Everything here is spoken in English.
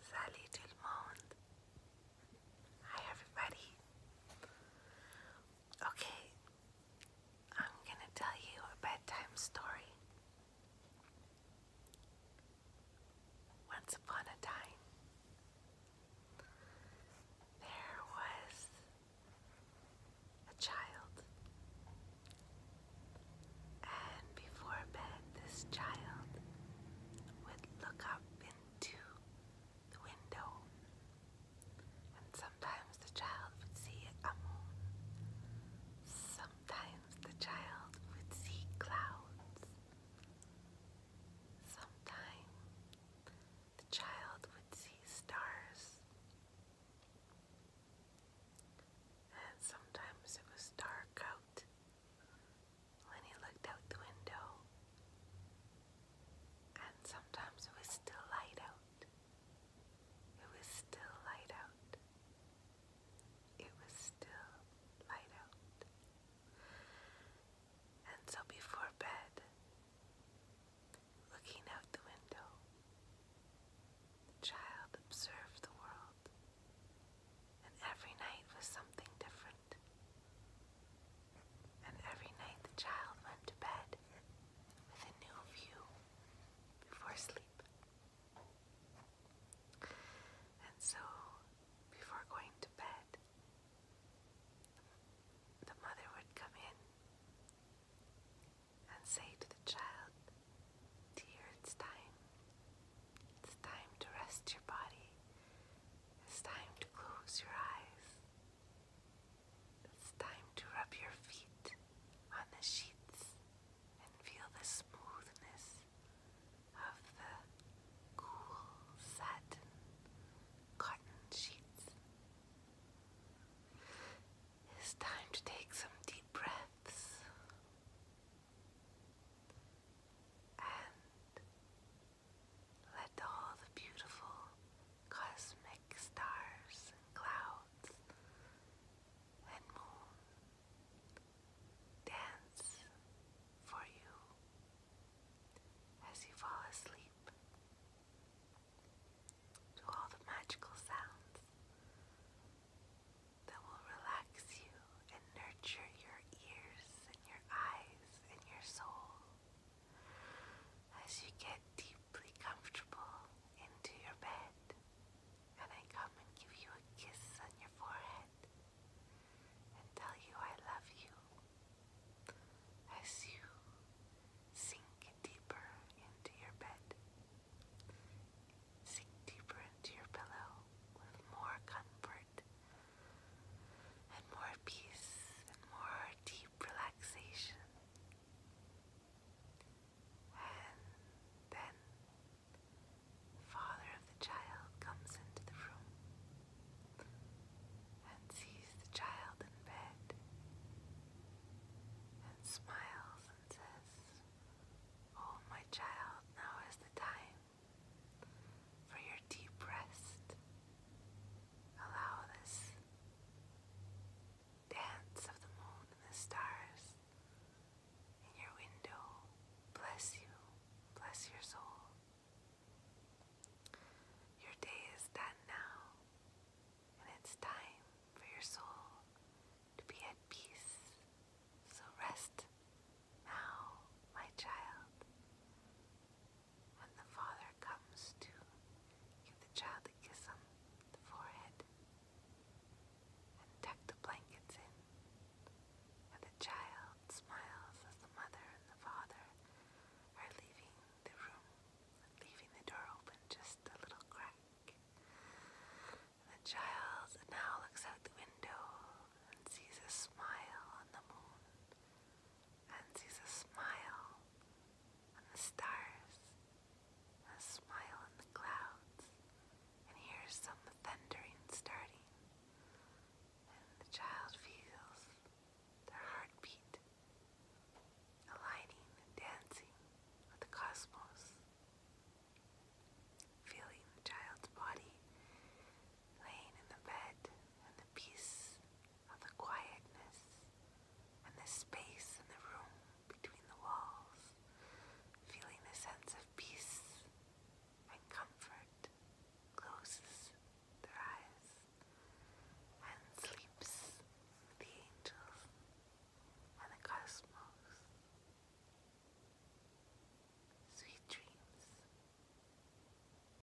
Salut tout le monde! Hi everybody! Okay, I'm gonna tell you a bedtime story. Once upon a time, there was a child. And before bed, this child would look up into the window. And sometimes the child would see a moon. Sometimes the child would see clouds. Sometimes the child would see stars. And sometimes it was dark out when he looked out the window. And sometimes it was still light out. It was still light out. It was still light out. And so before bed, Looking out the window, the child observed the world, and every night was something different. And every night the child went to bed with a new view before sleep. And so, before going to bed, the mother would come in and say to the child, Dear, it's time. It's time to rest your body. It's time to close your eyes. It's time to rub your feet on the sheets and feel the smoothness of the cool satin cotton sheets. It's time to take some deep breaths and let all the beautiful cosmic stars and clouds and moon dance for you as you fall asleep to all the magical sounds that will relax you and nurture your ears and your eyes and your soul as you get deeply comfortable into your bed. And I come and give you a kiss on your forehead and tell you I love you as you sink deeper into your bed. Sink deeper into your pillow with more comfort and more peace and more deep relaxation. And then the father of the child comes into the room and sees the child in bed and smiles and says, Oh, my child, now is the time for your deep rest. Allow this dance of the moon and the stars in your window. Bless you, bless your soul. Your day is done now, and it's time for your soul to be at peace. So rest now, my child. When the father comes to give the child a kiss on the forehead, and tuck the blankets in, and the child smiles as the mother and the father are leaving the room, leaving the door open just a little crack. the child now looks out the window and sees a smile on the moon, and sees a smile and the stars, a smile in the clouds, and hears some thundering starting, and the child feels their heartbeat, aligning and dancing with the cosmos, feeling the child's body laying in the bed and the peace of the quietness and the space in the room between the walls, feeling the sense of peace and comfort, closes their eyes and sleeps with the angels and the cosmos. Sweet dreams.